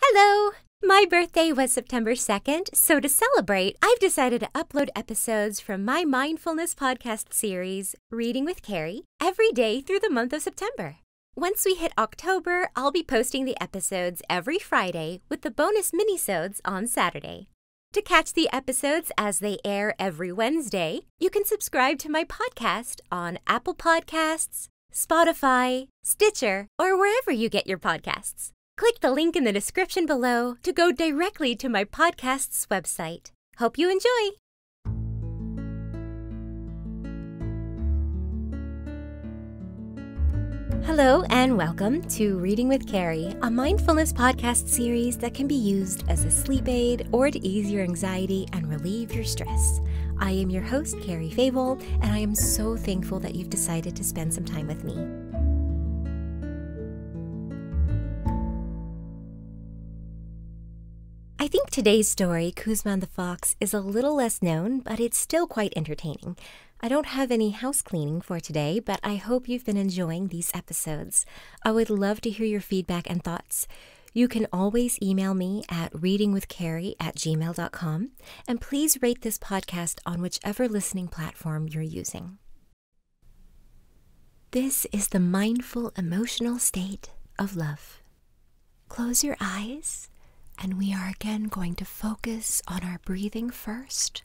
Hello! My birthday was September 2nd, so to celebrate, I've decided to upload episodes from my mindfulness podcast series, Reading with Carrie, every day through the month of September. Once we hit October, I'll be posting the episodes every Friday with the bonus minisodes on Saturday. To catch the episodes as they air every Wednesday, you can subscribe to my podcast on Apple Podcasts, Spotify, Stitcher, or wherever you get your podcasts. Click the link in the description below to go directly to my podcast's website. Hope you enjoy! Hello, and welcome to Reading with Carrie, a mindfulness podcast series that can be used as a sleep aid or to ease your anxiety and relieve your stress. I am your host, Carrie Fable and I am so thankful that you've decided to spend some time with me. I think today's story, Kuzman the Fox, is a little less known, but it's still quite entertaining. I don't have any house cleaning for today, but I hope you've been enjoying these episodes. I would love to hear your feedback and thoughts. You can always email me at readingwithcarrie at gmail.com and please rate this podcast on whichever listening platform you're using. This is the mindful emotional state of love. Close your eyes, and we are again going to focus on our breathing first.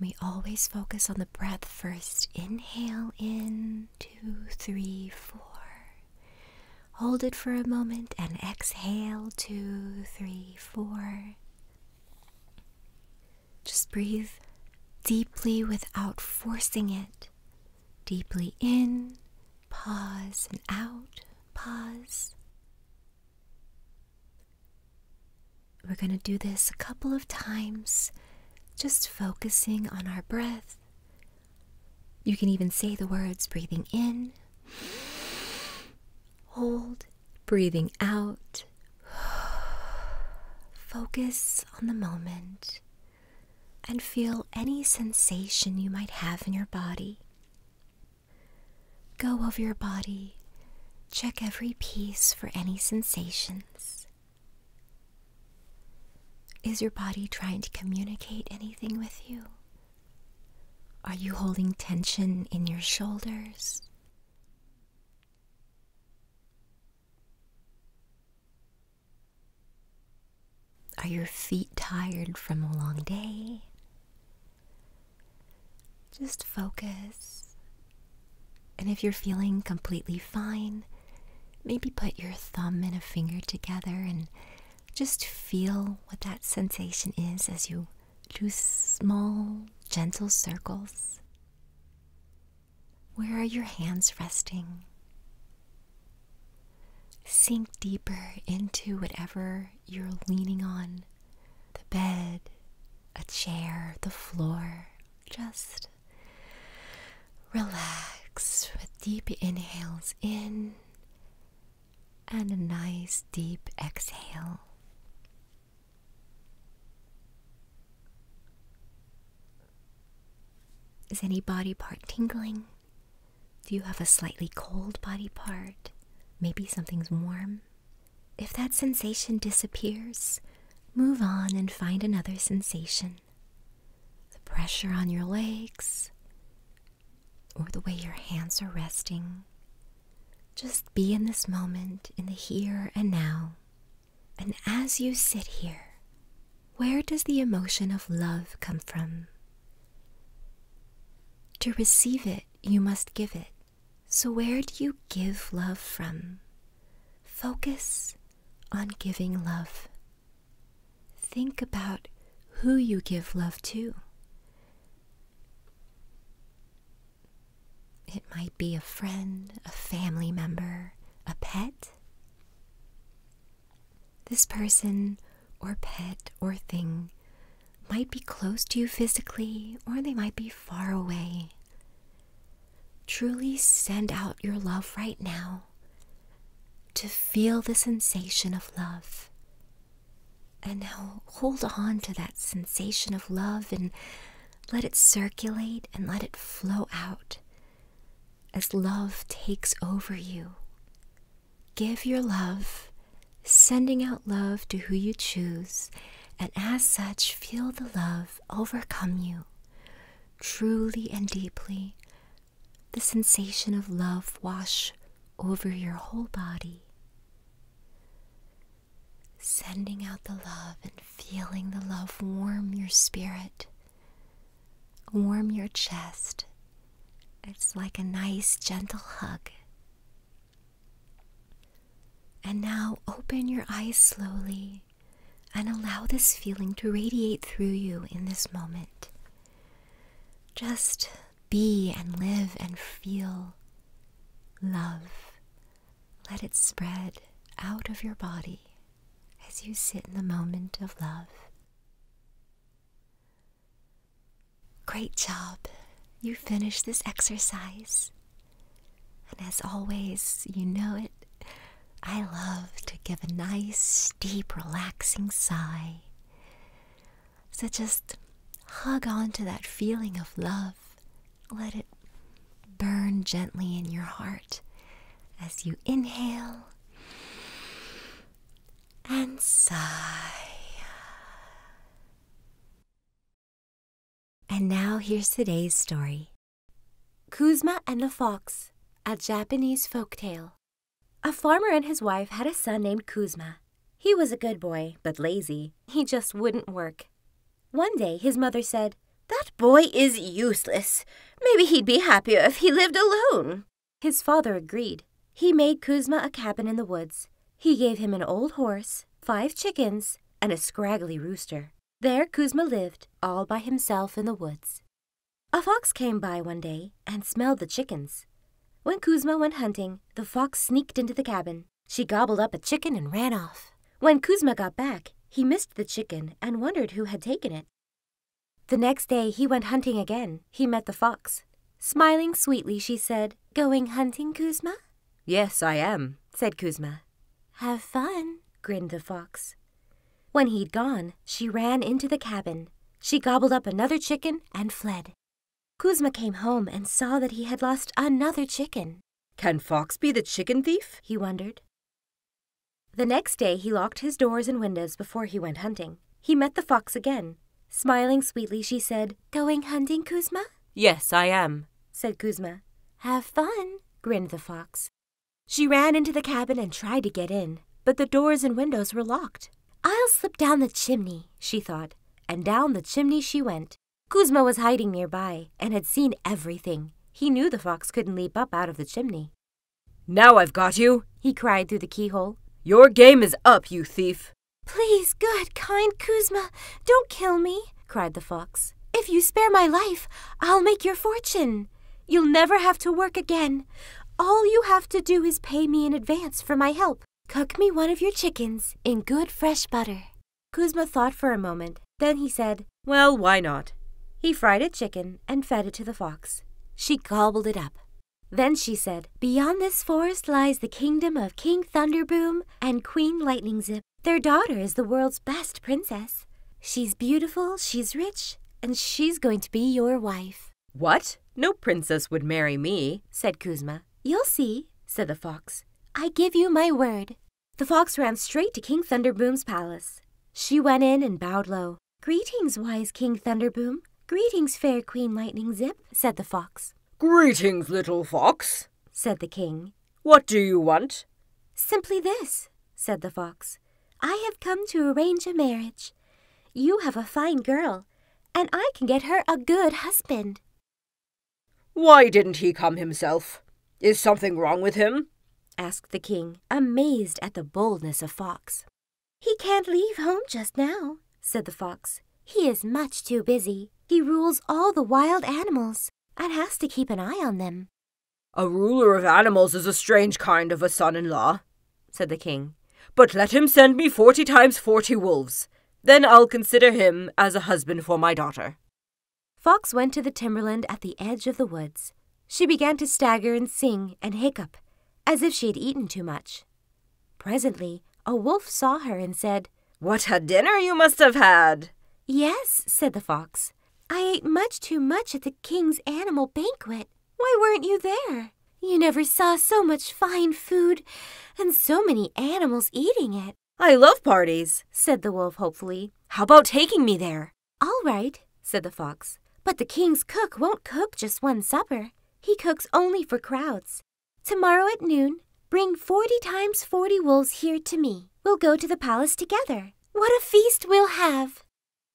We always focus on the breath first. Inhale in, two, three, four. Hold it for a moment and exhale. Two, three, four. Just breathe deeply without forcing it. Deeply in, pause and out, pause. We're going to do this a couple of times, just focusing on our breath you can even say the words breathing in, hold, breathing out. Focus on the moment and feel any sensation you might have in your body. Go over your body, check every piece for any sensations. Is your body trying to communicate anything with you? Are you holding tension in your shoulders? Are your feet tired from a long day? Just focus. And if you're feeling completely fine, maybe put your thumb and a finger together and just feel what that sensation is as you do small, gentle circles. Where are your hands resting? Sink deeper into whatever you're leaning on the bed, a chair, the floor. Just relax with deep inhales in and a nice deep exhale. Is any body part tingling? Do you have a slightly cold body part? Maybe something's warm? If that sensation disappears, move on and find another sensation. The pressure on your legs, or the way your hands are resting. Just be in this moment, in the here and now. And as you sit here, where does the emotion of love come from? To receive it, you must give it. So, where do you give love from? Focus on giving love. Think about who you give love to. It might be a friend, a family member, a pet. This person or pet or thing might be close to you physically or they might be far away. Truly send out your love right now to feel the sensation of love and now hold on to that sensation of love and let it circulate and let it flow out as love takes over you. Give your love, sending out love to who you choose, and as such, feel the love overcome you truly and deeply. The sensation of love wash over your whole body. Sending out the love and feeling the love warm your spirit, warm your chest. It's like a nice, gentle hug. And now open your eyes slowly and allow this feeling to radiate through you in this moment. Just be and live and feel love. Let it spread out of your body as you sit in the moment of love. Great job! You finished this exercise. And as always, you know it, I love to give a nice, deep, relaxing sigh. So just hug on to that feeling of love. Let it burn gently in your heart as you inhale and sigh. And now here's today's story Kuzma and the Fox, a Japanese folk tale. A farmer and his wife had a son named Kuzma. He was a good boy, but lazy. He just wouldn't work. One day his mother said, That boy is useless. Maybe he'd be happier if he lived alone. His father agreed. He made Kuzma a cabin in the woods. He gave him an old horse, five chickens, and a scraggly rooster. There Kuzma lived, all by himself in the woods. A fox came by one day and smelled the chickens. When Kuzma went hunting, the fox sneaked into the cabin. She gobbled up a chicken and ran off. When Kuzma got back, he missed the chicken and wondered who had taken it. The next day he went hunting again. He met the fox. Smiling sweetly, she said, Going hunting, Kuzma? Yes, I am, said Kuzma. Have fun, grinned the fox. When he'd gone, she ran into the cabin. She gobbled up another chicken and fled. Kuzma came home and saw that he had lost another chicken. Can Fox be the chicken thief? he wondered. The next day he locked his doors and windows before he went hunting. He met the fox again. Smiling sweetly, she said, Going hunting, Kuzma? Yes, I am, said Kuzma. Have fun, grinned the fox. She ran into the cabin and tried to get in, but the doors and windows were locked. I'll slip down the chimney, she thought, and down the chimney she went. Kuzma was hiding nearby and had seen everything. He knew the fox couldn't leap up out of the chimney. Now I've got you, he cried through the keyhole. Your game is up, you thief. Please, good, kind Kuzma, don't kill me, cried the fox. If you spare my life, I'll make your fortune. You'll never have to work again. All you have to do is pay me in advance for my help. Cook me one of your chickens in good fresh butter. Kuzma thought for a moment. Then he said, Well, why not? He fried a chicken and fed it to the fox. She gobbled it up. Then she said, Beyond this forest lies the kingdom of King Thunderboom and Queen Lightning Zip. Their daughter is the world's best princess. She's beautiful, she's rich, and she's going to be your wife. What? No princess would marry me, said Kuzma. You'll see, said the fox. I give you my word. The fox ran straight to King Thunderboom's palace. She went in and bowed low. Greetings, wise King Thunderboom. Greetings, fair Queen Lightning Zip, said the fox. Greetings, little fox, said the king. What do you want? Simply this, said the fox. I have come to arrange a marriage. You have a fine girl, and I can get her a good husband. Why didn't he come himself? Is something wrong with him? asked the king, amazed at the boldness of Fox. He can't leave home just now, said the fox. He is much too busy. He rules all the wild animals and has to keep an eye on them. A ruler of animals is a strange kind of a son in law, said the king, but let him send me forty times forty wolves. Then I'll consider him as a husband for my daughter. Fox went to the timberland at the edge of the woods. She began to stagger and sing and hiccup, as if she had eaten too much. Presently, a wolf saw her and said, What a dinner you must have had! Yes, said the fox. I ate much too much at the king's animal banquet. Why weren't you there? You never saw so much fine food and so many animals eating it. I love parties, said the wolf hopefully. How about taking me there? All right, said the fox. But the king's cook won't cook just one supper. He cooks only for crowds. Tomorrow at noon, bring forty times forty wolves here to me. We'll go to the palace together. What a feast we'll have!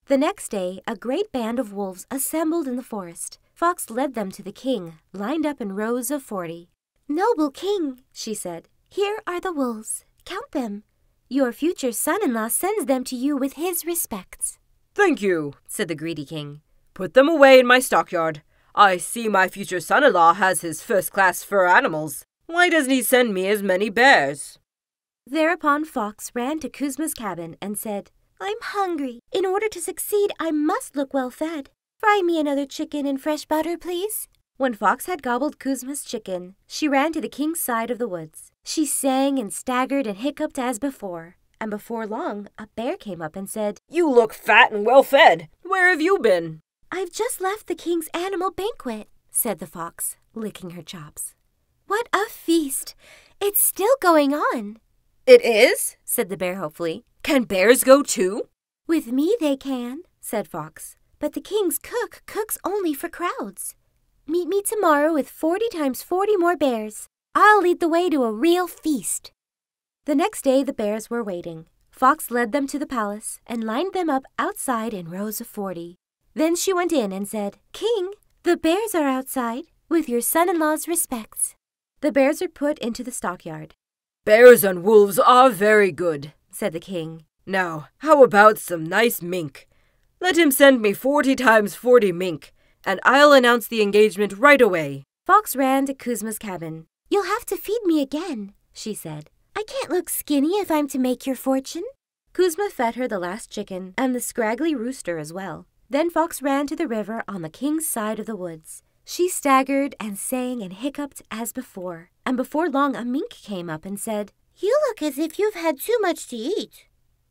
The next day, a great band of wolves assembled in the forest. Fox led them to the king, lined up in rows of forty. Noble king, she said, here are the wolves. Count them. Your future son-in-law sends them to you with his respects. Thank you, said the greedy king. Put them away in my stockyard. I see my future son-in-law has his first-class fur animals. Why doesn't he send me as many bears? Thereupon Fox ran to Kuzma's cabin and said, I'm hungry. In order to succeed, I must look well fed. Fry me another chicken in fresh butter, please. When Fox had gobbled Kuzma's chicken, she ran to the king's side of the woods. She sang and staggered and hiccuped as before. And before long, a bear came up and said, You look fat and well fed. Where have you been? I've just left the king's animal banquet, said the fox, licking her chops. What a feast! It's still going on. It is? said the bear hopefully. Can bears go too? With me they can, said Fox. But the king's cook cooks only for crowds. Meet me tomorrow with 40 times 40 more bears. I'll lead the way to a real feast. The next day the bears were waiting. Fox led them to the palace and lined them up outside in rows of 40. Then she went in and said, King, the bears are outside, with your son in law's respects. The bears are put into the stockyard. Bears and wolves are very good, said the king. Now, how about some nice mink? Let him send me forty times forty mink, and I'll announce the engagement right away. Fox ran to Kuzma's cabin. You'll have to feed me again, she said. I can't look skinny if I'm to make your fortune. Kuzma fed her the last chicken and the scraggly rooster as well. Then Fox ran to the river on the king's side of the woods. She staggered and sang and hiccuped as before, and before long a mink came up and said, You look as if you've had too much to eat.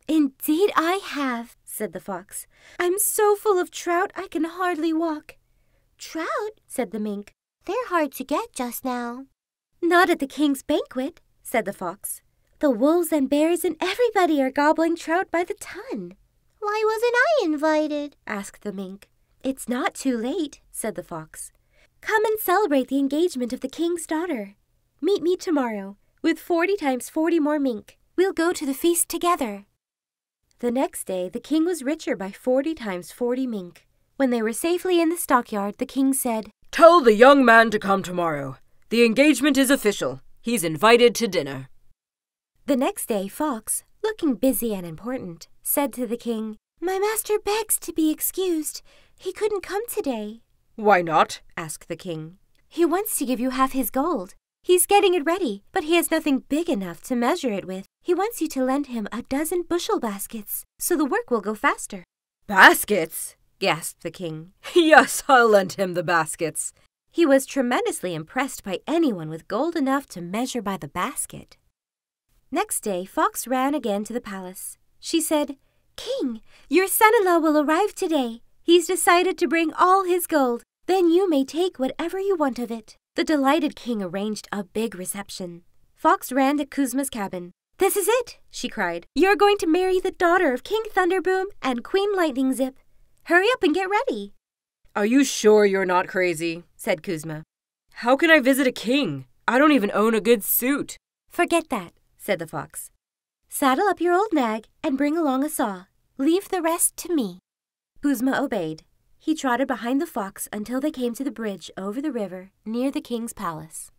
Indeed I have, said the fox. I'm so full of trout I can hardly walk. Trout, said the mink. They're hard to get just now. Not at the king's banquet, said the fox. The wolves and bears and everybody are gobbling trout by the ton. Why wasn't I invited? asked the mink. It's not too late, said the fox. Come and celebrate the engagement of the king's daughter. Meet me tomorrow with 40 times 40 more mink. We'll go to the feast together. The next day, the king was richer by 40 times 40 mink. When they were safely in the stockyard, the king said, Tell the young man to come tomorrow. The engagement is official. He's invited to dinner. The next day, Fox, looking busy and important, said to the king, My master begs to be excused. He couldn't come today. Why not? asked the king. He wants to give you half his gold. He's getting it ready, but he has nothing big enough to measure it with. He wants you to lend him a dozen bushel baskets, so the work will go faster. Baskets? gasped the king. Yes, I'll lend him the baskets. He was tremendously impressed by anyone with gold enough to measure by the basket. Next day, Fox ran again to the palace. She said, King, your son-in-law will arrive today. He's decided to bring all his gold. Then you may take whatever you want of it. The delighted king arranged a big reception. Fox ran to Kuzma's cabin. This is it, she cried. You're going to marry the daughter of King Thunderboom and Queen Lightning Zip. Hurry up and get ready. Are you sure you're not crazy? said Kuzma. How can I visit a king? I don't even own a good suit. Forget that, said the fox. Saddle up your old nag and bring along a saw. Leave the rest to me. Kuzma obeyed. He trotted behind the fox until they came to the bridge over the river near the king's palace.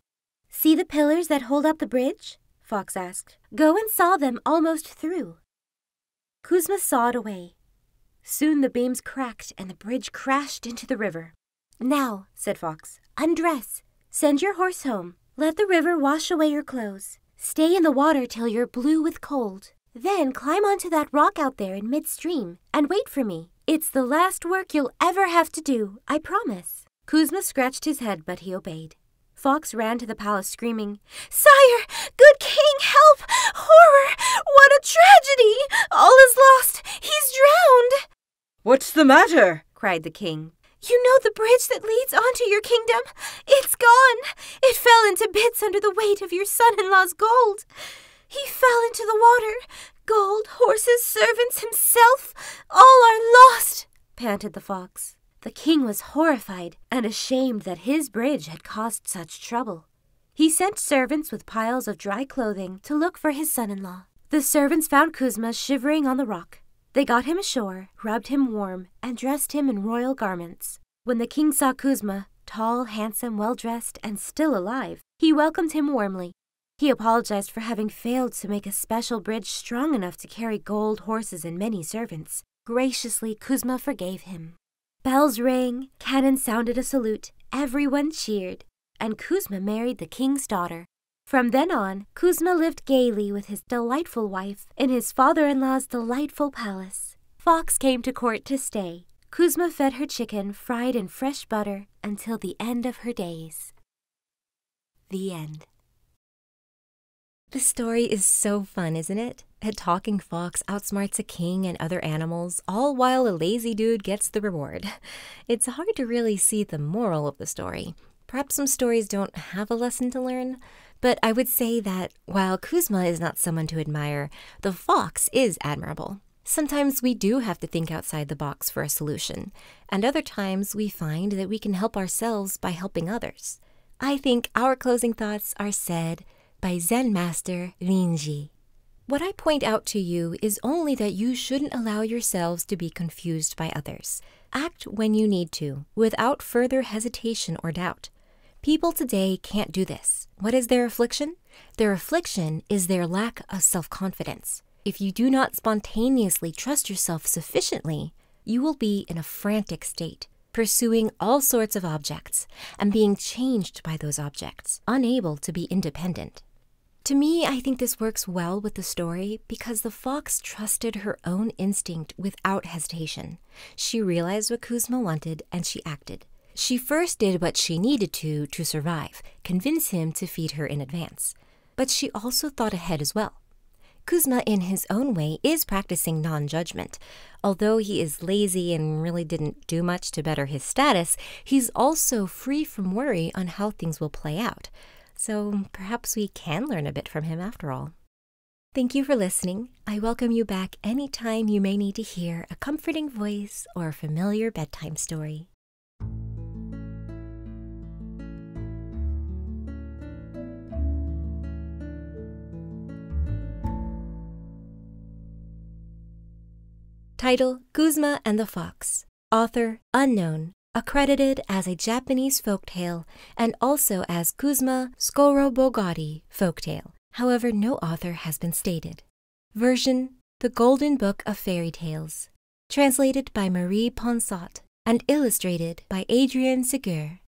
See the pillars that hold up the bridge? Fox asked. Go and saw them almost through. Kuzma sawed away. Soon the beams cracked and the bridge crashed into the river. Now, said Fox, undress. Send your horse home. Let the river wash away your clothes. Stay in the water till you're blue with cold. Then climb onto that rock out there in midstream and wait for me. It's the last work you'll ever have to do, I promise. Kuzma scratched his head, but he obeyed. Fox ran to the palace screaming, Sire! Good king, help! Horror! What a tragedy! All is lost! He's drowned! What's the matter? cried the king. You know the bridge that leads onto your kingdom? It's gone! It fell into bits under the weight of your son in law's gold. He fell into the water. Gold, horses, servants, himself, all are lost, panted the fox. The king was horrified and ashamed that his bridge had caused such trouble. He sent servants with piles of dry clothing to look for his son-in-law. The servants found Kuzma shivering on the rock. They got him ashore, rubbed him warm, and dressed him in royal garments. When the king saw Kuzma, tall, handsome, well-dressed, and still alive, he welcomed him warmly. He apologized for having failed to make a special bridge strong enough to carry gold horses and many servants. Graciously, Kuzma forgave him. Bells rang, cannon sounded a salute, everyone cheered, and Kuzma married the king's daughter. From then on, Kuzma lived gaily with his delightful wife in his father in law's delightful palace. Fox came to court to stay. Kuzma fed her chicken fried in fresh butter until the end of her days. The end. The story is so fun, isn't it? A talking fox outsmarts a king and other animals, all while a lazy dude gets the reward. It's hard to really see the moral of the story. Perhaps some stories don't have a lesson to learn, but I would say that while Kuzma is not someone to admire, the fox is admirable. Sometimes we do have to think outside the box for a solution, and other times we find that we can help ourselves by helping others. I think our closing thoughts are said by Zen master Rinji. What I point out to you is only that you shouldn't allow yourselves to be confused by others. Act when you need to, without further hesitation or doubt. People today can't do this. What is their affliction? Their affliction is their lack of self confidence. If you do not spontaneously trust yourself sufficiently, you will be in a frantic state pursuing all sorts of objects and being changed by those objects, unable to be independent. To me, I think this works well with the story because the fox trusted her own instinct without hesitation. She realized what Kuzma wanted and she acted. She first did what she needed to to survive, convince him to feed her in advance. But she also thought ahead as well. Kuzma, in his own way, is practicing non judgment, Although he is lazy and really didn't do much to better his status, he's also free from worry on how things will play out. So perhaps we can learn a bit from him after all. Thank you for listening. I welcome you back anytime you may need to hear a comforting voice or a familiar bedtime story. Title Kuzma and the Fox. Author Unknown. Accredited as a Japanese folktale and also as Kuzma Skorobogari folktale. However, no author has been stated. Version The Golden Book of Fairy Tales. Translated by Marie Ponsot and illustrated by Adrian Segur.